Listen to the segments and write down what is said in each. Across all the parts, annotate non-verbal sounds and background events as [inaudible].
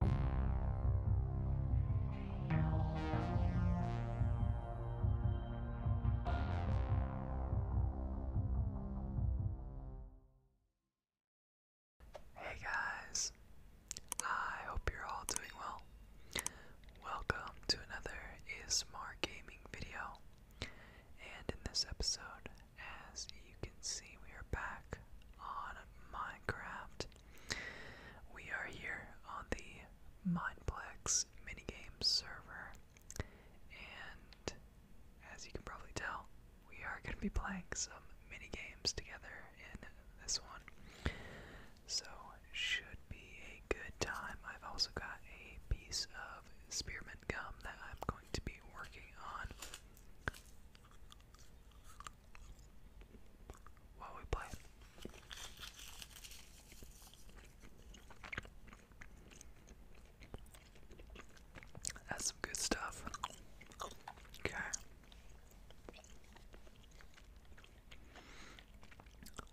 Hey guys, I hope you're all doing well. Welcome to another ASMR gaming video. And in this episode, as you can see, we are back on Minecraft. We are here on the Mindplex minigame server, and as you can probably tell, we are going to be playing some minigames together in this one. So, should be a good time. I've also got a piece of Spearman gum that I'm going to be working on while we play. That's some good stuff. Okay.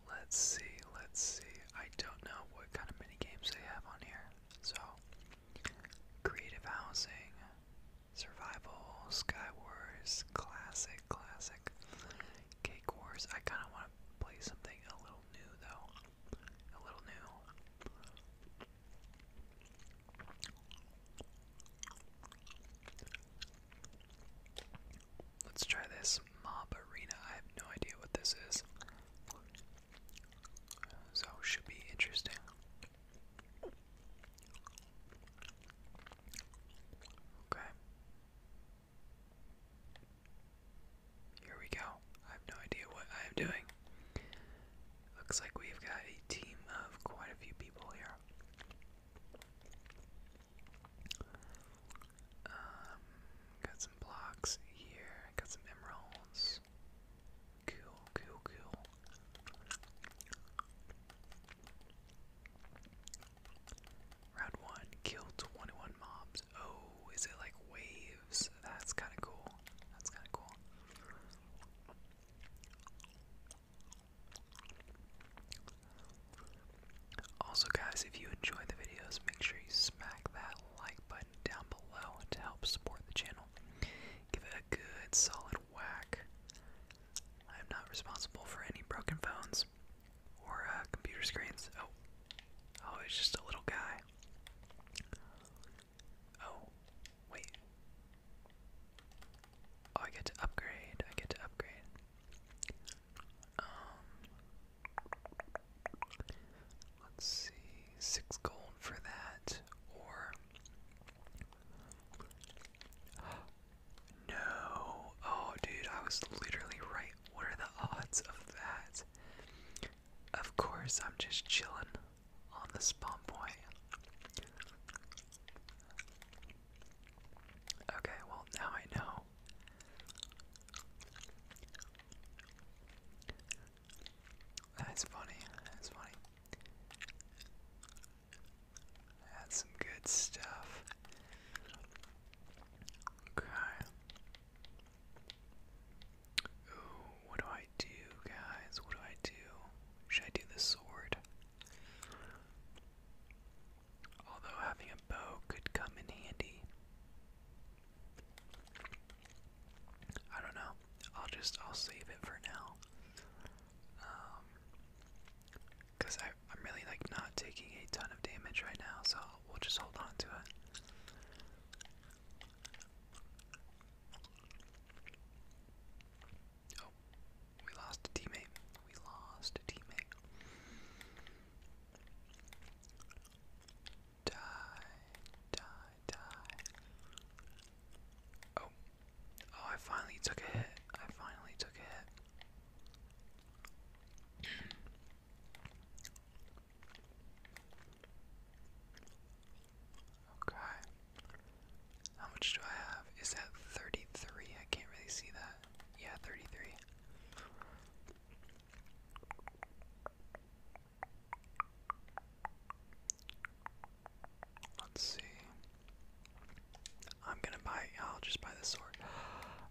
Let's see, let's see. I don't know what kind of mini games they have on here. So, creative housing, Survival, Sky Wars, classic, classic. Cake Wars. I kind of want to play something a little new, though. A little new. Let's try this mob arena. I have no idea what this is. So, should be interesting. Okay. Here we go. I have no idea what I am doing. Looks like we've got a team of quite a few people here. Um, got some blocks here, got some emeralds. Cool, cool, cool. Round 1, kill 21 mobs. Oh, is it like waves? That's kind of cool. That's kind of cool. Also, guys, if you enjoy the videos, make sure you smack that like button down below to help support the channel. Give it a good solid whack. I am not responsible for any broken phones or computer screens. Oh, oh, it's just a little guy. Oh, wait. Oh, I get to upgrade. I get to upgrade. Um, let's see, six gold for that, or. No. Oh, dude, I was literally right. What are the odds of that? Of course, I'm just chilling on the spawn point. Okay, well, now I know. That's funny. That's funny. That's some good stuff. Okay. Ooh, what do I do, guys? What do I do? Should I do the sword? Although having a bow could come in handy. I don't know. I'll just I'll save it for now. Um, because I'm really like not taking a ton of damage right now, so we'll just hold on to it. Oh, we lost a teammate. We lost a teammate. Die, die, die. Oh. Oh, I finally took a hit. I finally took a hit. okay. How much do I have? Is that 33? I can't really see that. Yeah, 33. Let's see. I'm gonna buy. I'll just buy the sword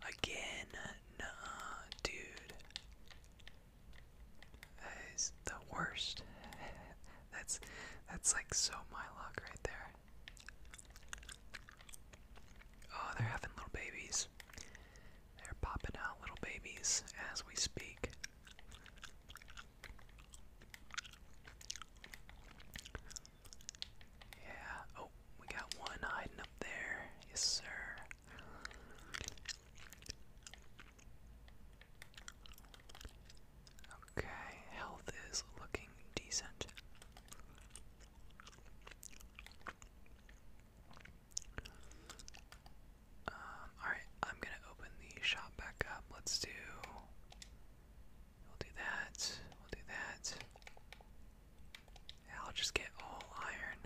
again. dude. That is the worst. [laughs] that's that's like so my luck right there. Oh, they're having little babies. They're popping out little babies as we speak. Yeah. Oh, we got one hiding up there. Yes, sir. Okay, health is looking decent. Um, alright, I'm gonna open the shop back up. Let's do We'll do that. We'll do that. I'll just get all iron.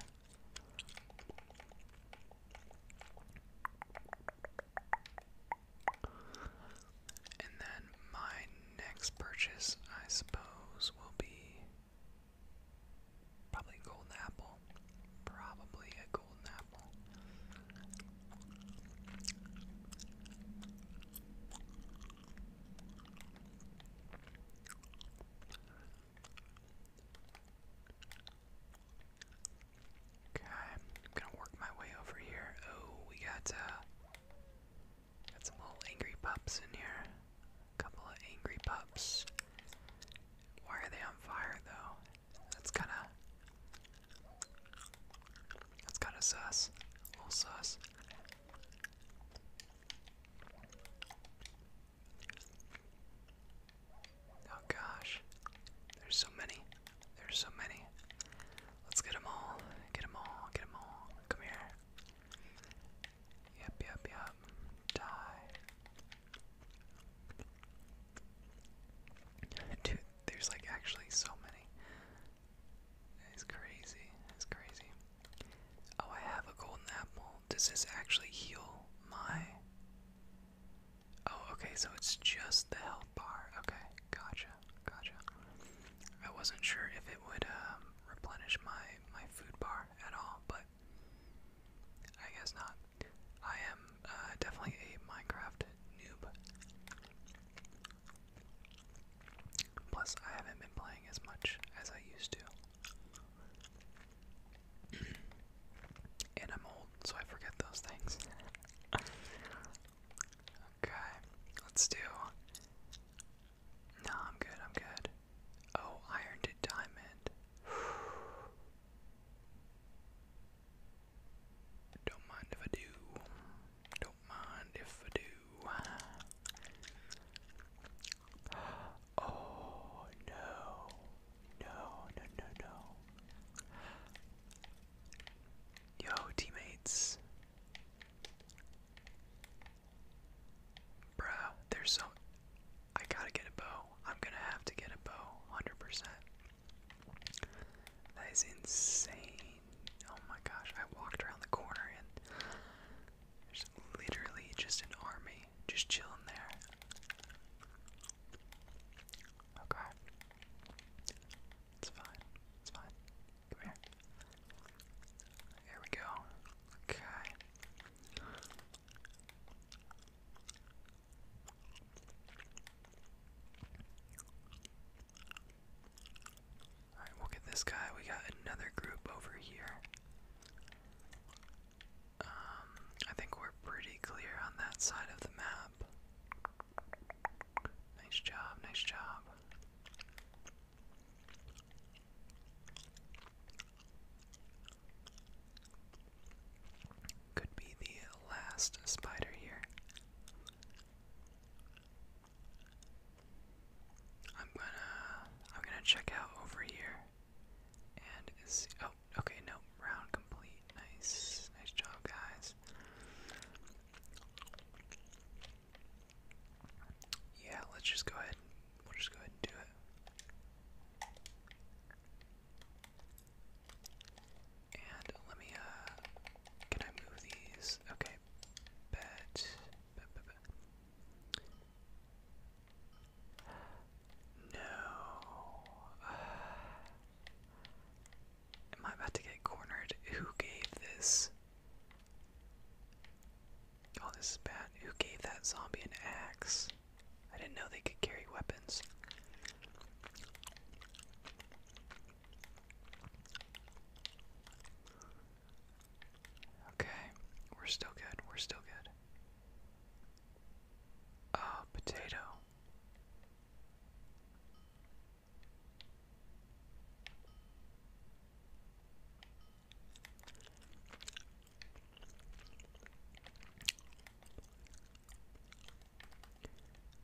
And then my next purchase, I suppose, will be probably a golden apple. Probably a golden apple. Okay, I'm gonna work my way over here. Oh, we got uh, got some little angry pups in here. A couple of angry pups. Why are they on fire though? That's kinda that's kind of sus. A little sus. Oh gosh. There's so many. There's so many. Let's get them all. Get them all. Get them all. Come here. Yep, yep, yep. Die. Dude, there's like actually so many. It's crazy. It's crazy. Oh, I have a golden apple. Does this actually heal my. Oh, okay, so it's just the health bar. Okay, gotcha, gotcha. I wasn't sure if it would um, replenish my, my food bar at all, but I guess not. I am uh, definitely a Minecraft noob. Plus, I haven't been playing as much as I used to. [clears throat] and I'm old, so I forget those things. okay, let's do. No, I'm good, I'm good. Oh, iron to diamond. Don't mind if I do. Don't mind if I do. [gasps] Oh no. No, no, no, no. Yo, teammates. Bruh, there's some. I gotta get a bow. I'm gonna have to get a bow. 100%. That is insane oh my gosh, I walked around the corner and there's literally just an army just chilling there. Okay. It's fine. It's fine. Come here. There we go. Okay. Alright, we'll get this guy. We got another group over here. Um, I think we're pretty clear on that side of the map. Nice job, nice job. Could be the last spider here. I'm gonna I'm gonna check out over here and see oh okay no round complete nice nice job guys yeah let's just go ahead we'll just go ahead and do it and let me uh can I move these okay bet. bet, bet, No. am I about to get cornered? Who gave this? Oh, this is Who gave that zombie an axe? I didn't know they could carry weapons. Okay, we're still good. We're still good. Ah, potato.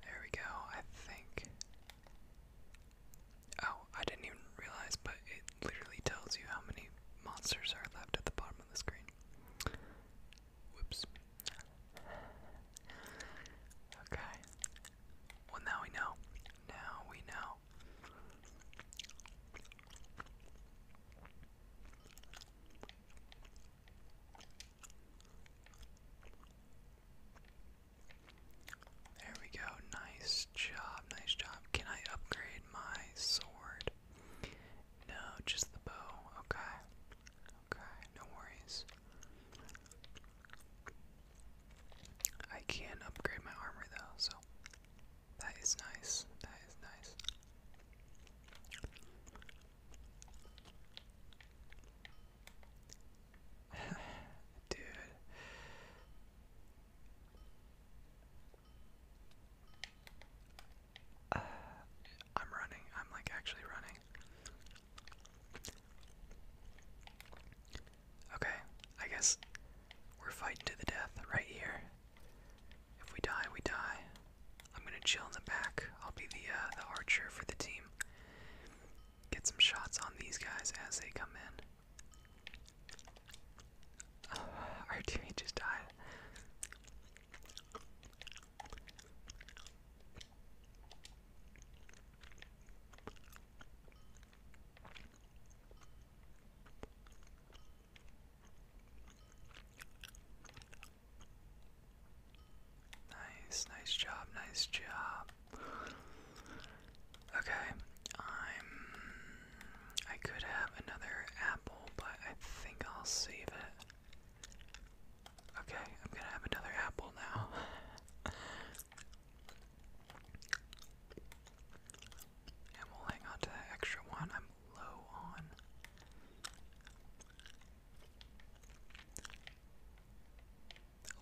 There we go. I think Oh, I didn't even realize, but it literally tells you how many monsters are left at the bottom of the screen. Whoops. Okay. Well, now we know. Now we know. There we go. Nice job. Nice job. Can I upgrade my sword? No, just the bow. Okay. Okay, no worries. I can not upgrade my armor though, so that is nice. That is nice. Dude. [sighs] I'm running. I'm like actually running. Okay, I guess we're fighting to the death right here. If we die, we die. I'm gonna chill in the back. I'll be the uh, the archer for the team get some shots on these guys as they come in. [sighs] our teammate just died. Nice, nice job, nice job. Okay, I'm. I could have another apple, but I think I'll save it. Okay, I'm gonna have another apple now. [laughs] and we'll hang on to that extra one I'm low on.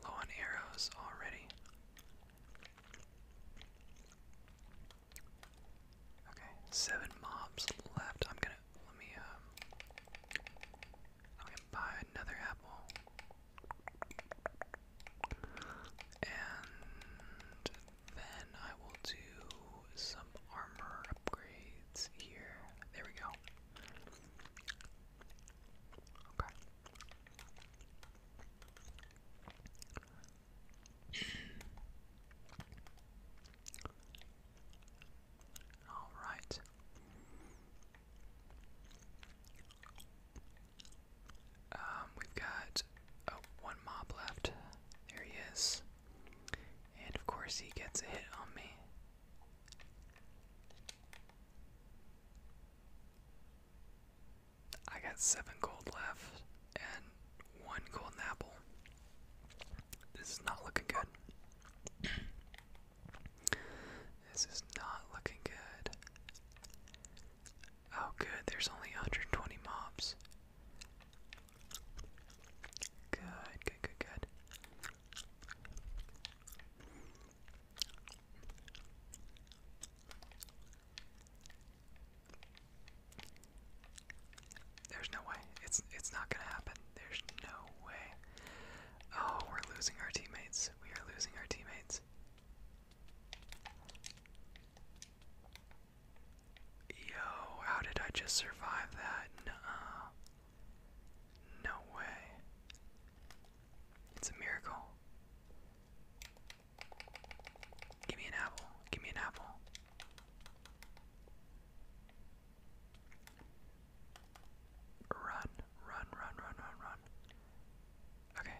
Low on arrows already. Okay, seven mobs left. I'm gonna let me um I'm gonna buy another apple. And then I will do some armor upgrades here. There we go. Okay. All right. Um, we've got oh, one mob left. There he is. And of course, he gets hit on me. I got seven gold left and one golden apple. This is not looking good. [clears throat] this is not looking good. Oh, good, there's only 120 mobs. Good, good, good, good. There's no way. It's it's not gonna happen. There's no way. Oh, we're losing our teammates. We are losing our teammates. Yo, how did I just survive that? nuh No way. It's a miracle. Give me an apple. Give me an apple. Run, run, run, run, run, run. Okay,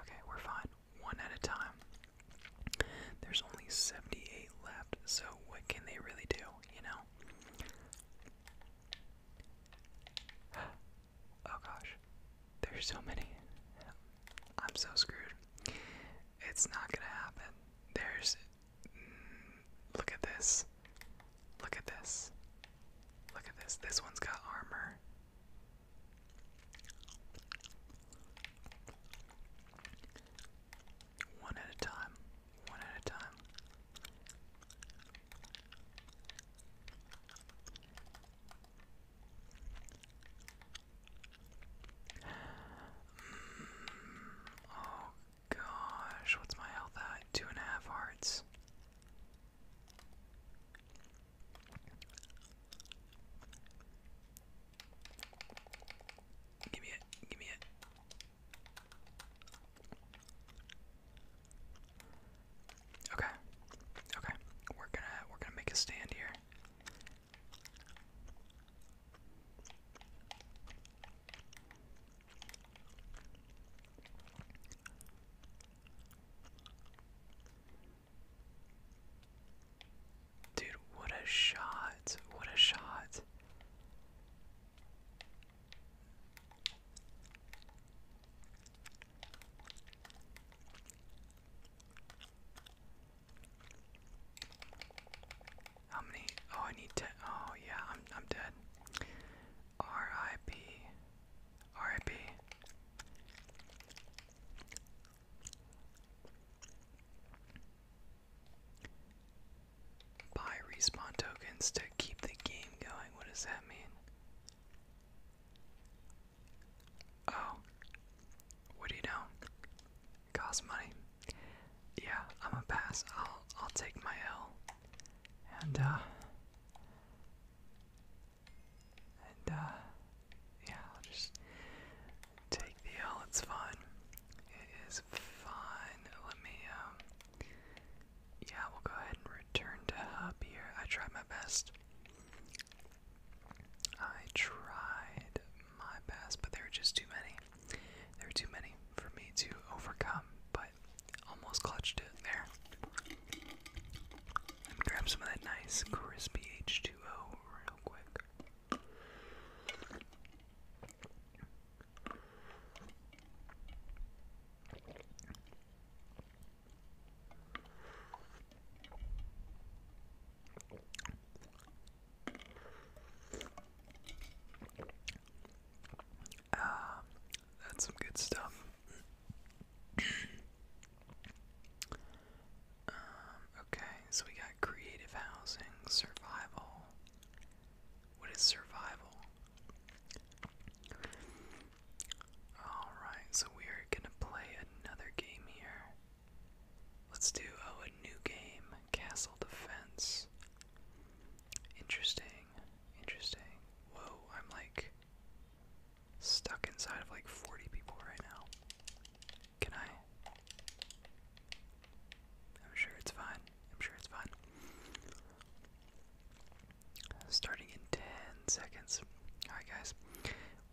okay, we're fine. One at a time. There's only 78 left, so what can they really do, you know? [gasps] Oh gosh, there's so many. I'm so screwed. It's not gonna happen. There's. Mm, look at this. Look at this. Look at this. This one's got armor. One at a time. One at a time. Mm, oh gosh, what's my health at? Two and a half hearts. Give me it, give me it. Okay. Okay. We're gonna we're gonna make a stand here. Dude, what a shot. What a shot. How many? Oh, I need to. Oh, yeah, I'm I'm dead. R.I.P. Buy respawn tokens to keep the game going. What does that mean? Oh, what do you know? costs money. Yeah, I'm a pass. I'll I'll take my L. And uh and uh yeah, I'll just take the L, it's fine. It is fine. Let me um yeah, we'll go ahead and return to hub I tried my best. I tried my best, but there are just too many. There are too many for me to overcome, but almost clutched it there. Let me grab some of that nice crispy H2O real quick. Ah, that's some good stuff. Um, okay, so we got creative housing, survival. What is survival? Alright, so we are gonna play another game here. Let's do oh, a new game, Castle Defense. Interesting, interesting. Whoa, I'm like stuck inside of like 40 people right now. Can I? I'm sure it's fine. I'm sure it's fine starting in 10 seconds. Alright, guys,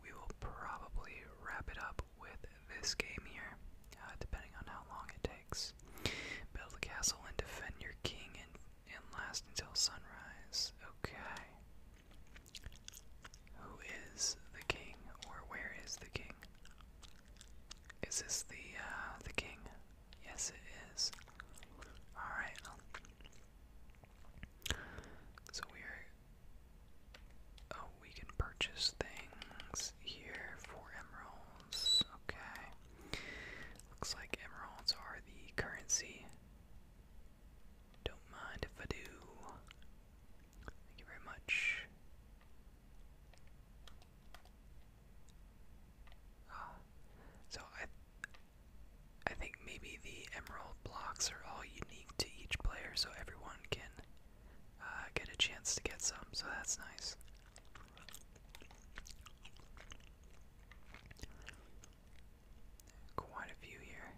we will probably wrap it up with this game here, uh, depending on how long it takes. Build a castle and defend your king and, and last until sunrise. Okay. Who is the king, or where is the king? Is this the uh, the king? Yes, it is. All right. So we're. Oh, we can purchase things here for emeralds. Okay. Looks like emeralds are the currency. Don't mind if I do. Thank you very much. Ah. So I I think maybe the emerald blocks are all unique to each player, so everyone can uh, get a chance to get some, so that's nice. Quite a few here.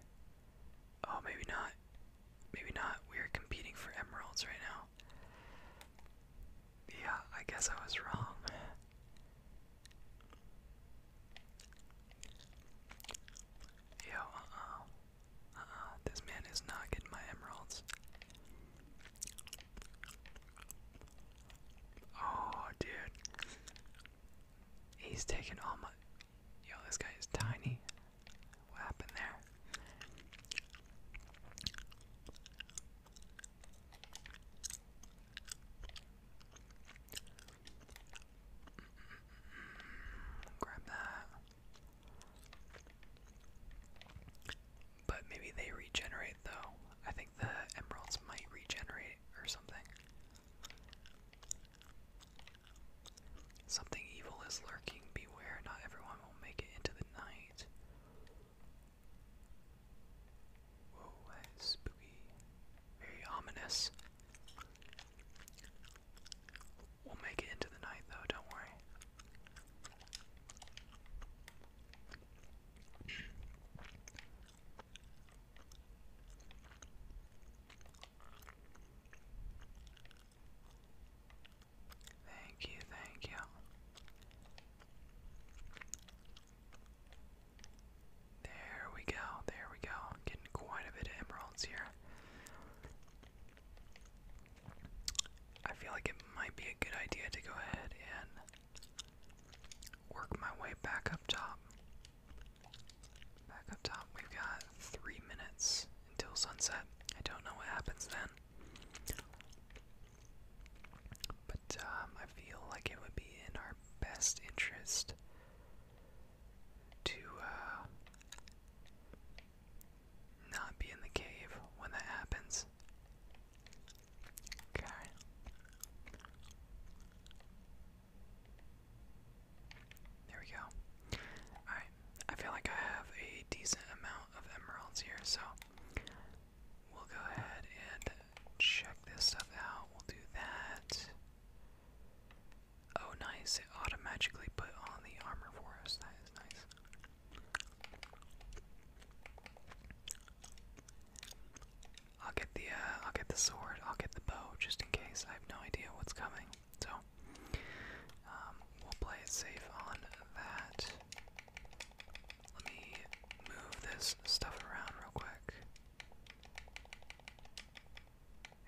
Oh, maybe not. Maybe not. We're competing for emeralds right now. Yeah, I guess I was wrong. Yo, uh-uh. Uh-uh. This man is not getting my emeralds. Oh, dude. He's taking all my... Yo, this guy is tiny. What happened there? Grab that. But maybe they regenerate though. I think the emeralds might regenerate or something. Something evil is lurking, beware, not everyone will make it into the night. Whoa, spooky. Very ominous. We'll make it into the night though, don't worry. Thank you, thank you. There we go, there we go. Getting quite a bit of emeralds here. I feel like it might be a good idea to go ahead and work my way back up top. Back up top, we've got three minutes until sunset. I don't know what happens then. But um, I feel like it would be in our best interest to uh, not be in the cave when that happens. Okay. There we go. Alright, I feel like I have a decent amount of emeralds here, so we'll go ahead and check this stuff out. We'll do that. Oh, nice. It automatically put on the armor for us. That is nice. I'll get the uh, I'll get the sword. I'll get the bow just in case. I have no idea what's coming. So um, we'll play it safe on that. Let me move this stuff around real quick.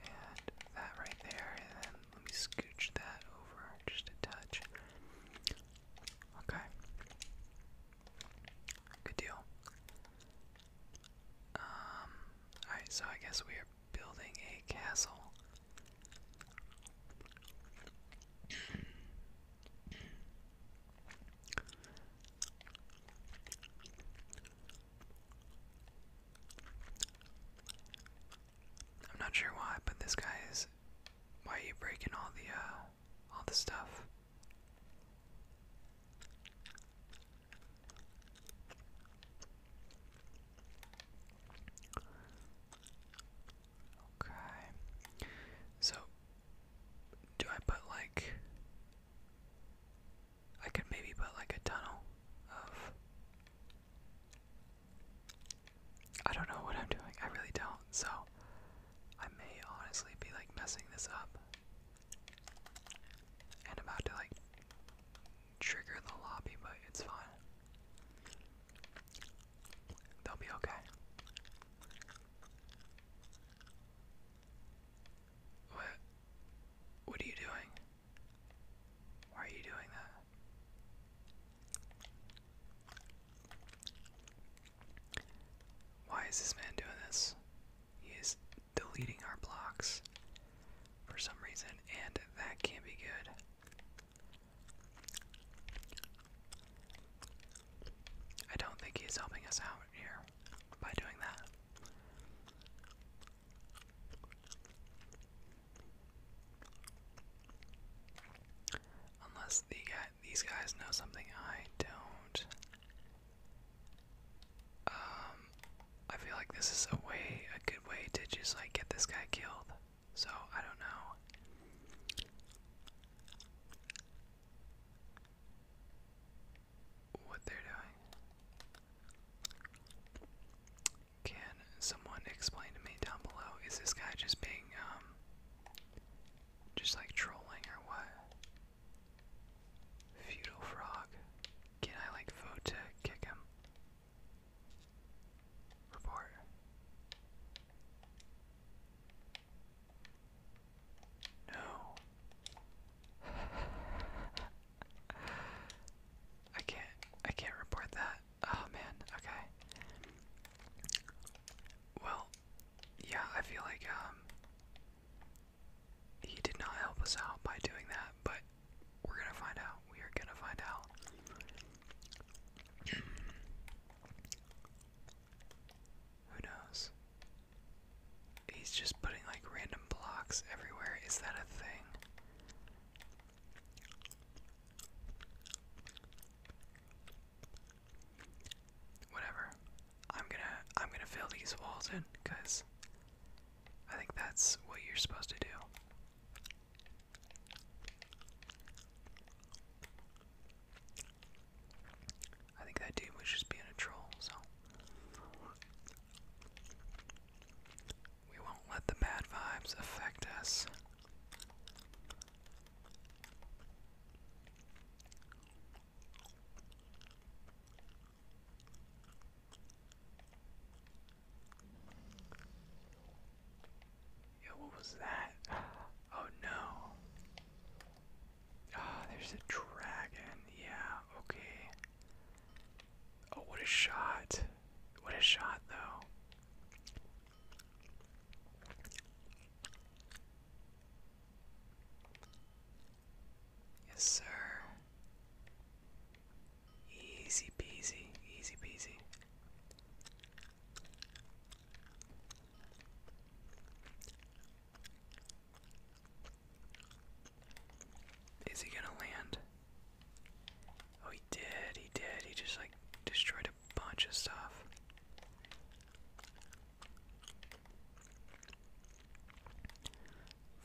And that right there, and then let me scooch that over just a touch. Okay. Good deal. Um, alright, so I guess we are building a castle. I'm not sure why, but this guy is. Why are you breaking all the uh, all the stuff? Okay. So, do I put like I could maybe put like a tunnel of. I don't know what I'm doing. I really don't. So I may honestly be like messing this up. And I'm about to like trigger the lobby, but it's fine. They'll be okay. What? What are you doing? Why are you doing that? Why is this man doing this? He is deleting our blocks for some reason, and that can't be good. I don't think he's helping us out here by doing that. Unless these guys know something I don't. Um, I feel like this is a way, a good way to just like get this guy killed. So I don't know what they're doing. Can someone explain to me down below? Is this guy just being, um, just like trolling or what? Feudal frog. Can I like vote to kick him? Report. No. I can't I can't report that. Oh man, okay. Well, yeah, I feel like um he did not help us out by doing that, but we're gonna find out. We are gonna find out. [clears throat] Who knows? He's just putting like random blocks everywhere. Is that a thing? Whatever. I'm gonna I'm gonna fill these walls in because I think that's what you're supposed to do. I think that dude was just being a troll, so we won't let the bad vibes affect us. Yo, what was that? [gasps] Oh no. Ah, there's a dragon. Yeah, okay. Oh, what a shot. What a shot, though. Yes, sir. Easy peasy, easy peasy. Is he gonna land? Oh, he did, he did. He just like destroyed a bunch of stuff.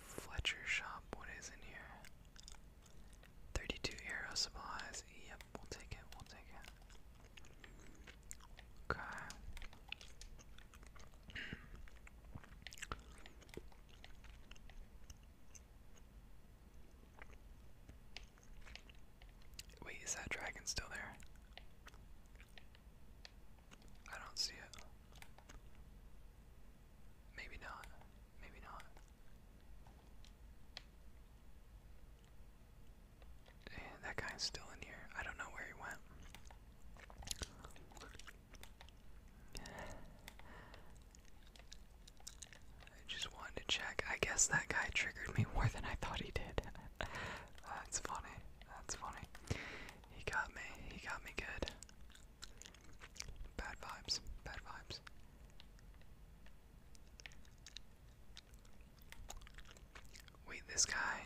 Fletcher shop, what is in here? 32 arrow supplies. Yep, we'll take it, we'll take it. Okay. [clears throat] Wait, is that dragon still there? I don't see it. Maybe not. Maybe not. Eh, that guy's still in here. I don't know where he went. I just wanted to check. I guess that guy triggered me more than I thought he did. [laughs] That's funny. That's funny. He got me. He got me good. Bad vibes. Bad vibes. Wait, this guy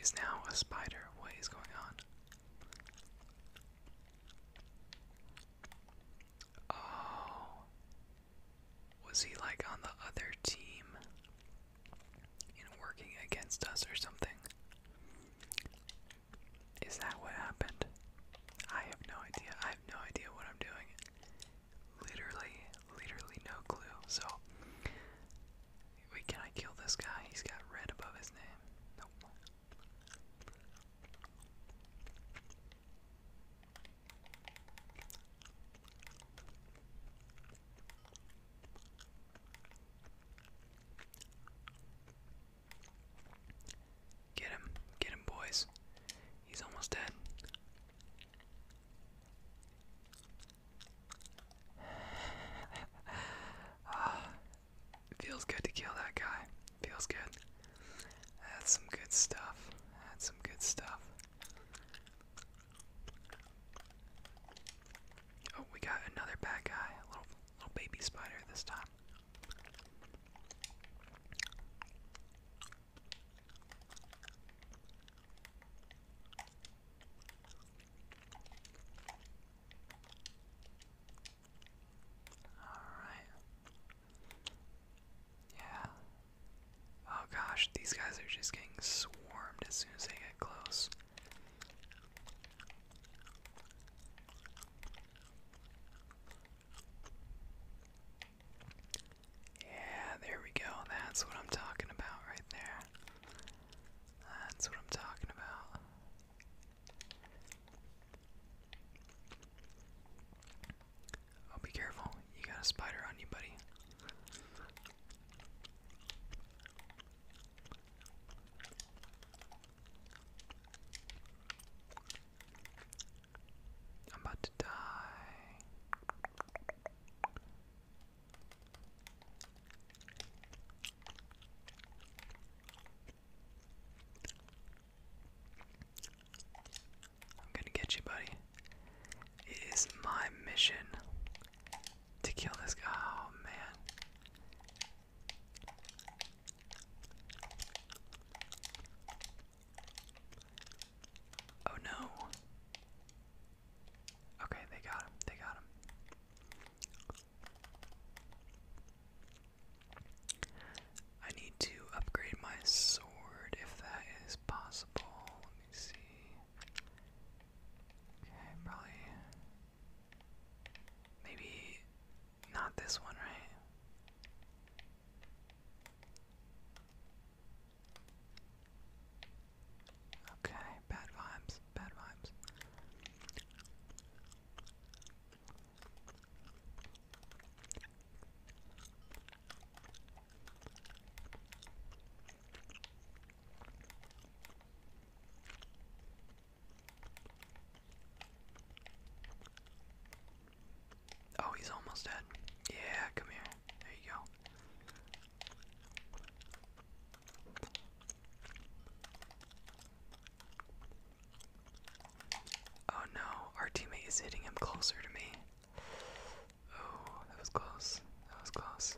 is now a spider. What is going on? Oh. Was he like on the other team and working against us or something? Is that what happened? I have no idea. I have no idea what I'm doing. Literally, literally no clue. So, wait, can I kill this guy? He's got red above his name. Nope. Get him, get him, boys. He's almost dead. [sighs] Ah. Feels good to kill that guy. Feels good. That's some good stuff. That's some good stuff. Oh, we got another bad guy. A little, little baby spider this time. Alright. Yeah. Oh gosh, these guys are just getting swarmed as soon as they get close. Yeah, there we go. That's what I'm talking about right there. That's what I'm talking about. Oh, be careful. You got a spider on you, buddy. I'm about to die. I'm gonna get you, buddy. It is my mission to kill this guy. Oh, man. Oh, no. Okay, they got him. They got him. I need to upgrade my sword if that is possible. Let me see. Okay, probably. Maybe not this one, right? Okay, bad vibes, bad vibes. Oh, he's almost dead. Yeah, come here. There you go. Oh no, our teammate is hitting him closer to me. Oh, that was close. That was close.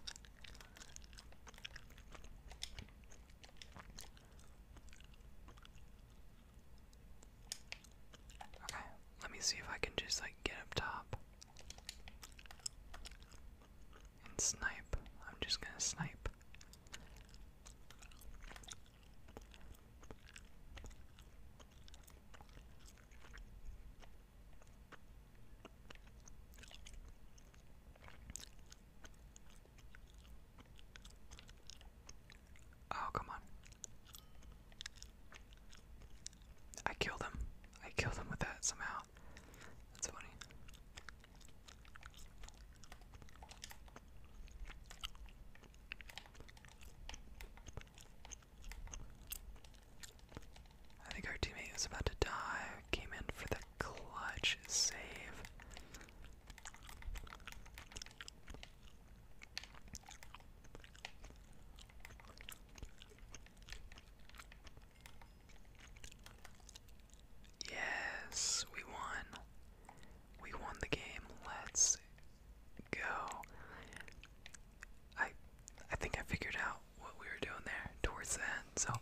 Okay, let me see if I can just like get up top and snipe. I'm just gonna snipe. Oh, come on. I killed him. I killed him with that somehow. That's funny. I think our teammate was about to die. Came in for the clutch save. Yes, we won. We won the game. Let's go. I I think I figured out what we were doing there towards the end. So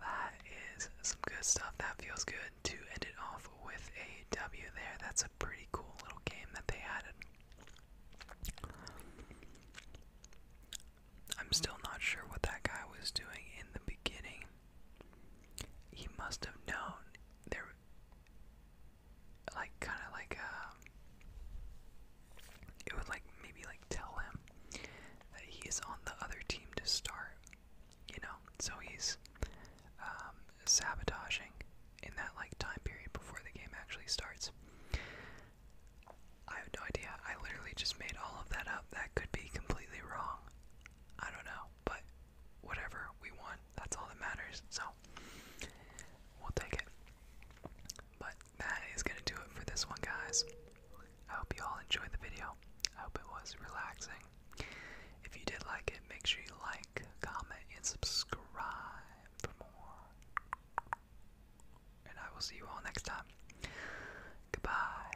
that is some good stuff. That feels good to end it off with a W there. That's a pretty cool little game that they had. I'm still not sure what that guy was doing in the beginning he must have known there like kind of like uh, it would like maybe like tell him that he's on the other team to start you know so he's um, sabotaging in that like time period before the game actually starts I have no idea. I literally just made all of that up. That could be completely wrong. I don't know, but whatever we want. That's all that matters. So we'll take it. But that is going to do it for this one, guys. I hope you all enjoyed the video. I hope it was relaxing. If you did like it, make sure you like, comment, and subscribe for more. And I will see you all next time. Goodbye.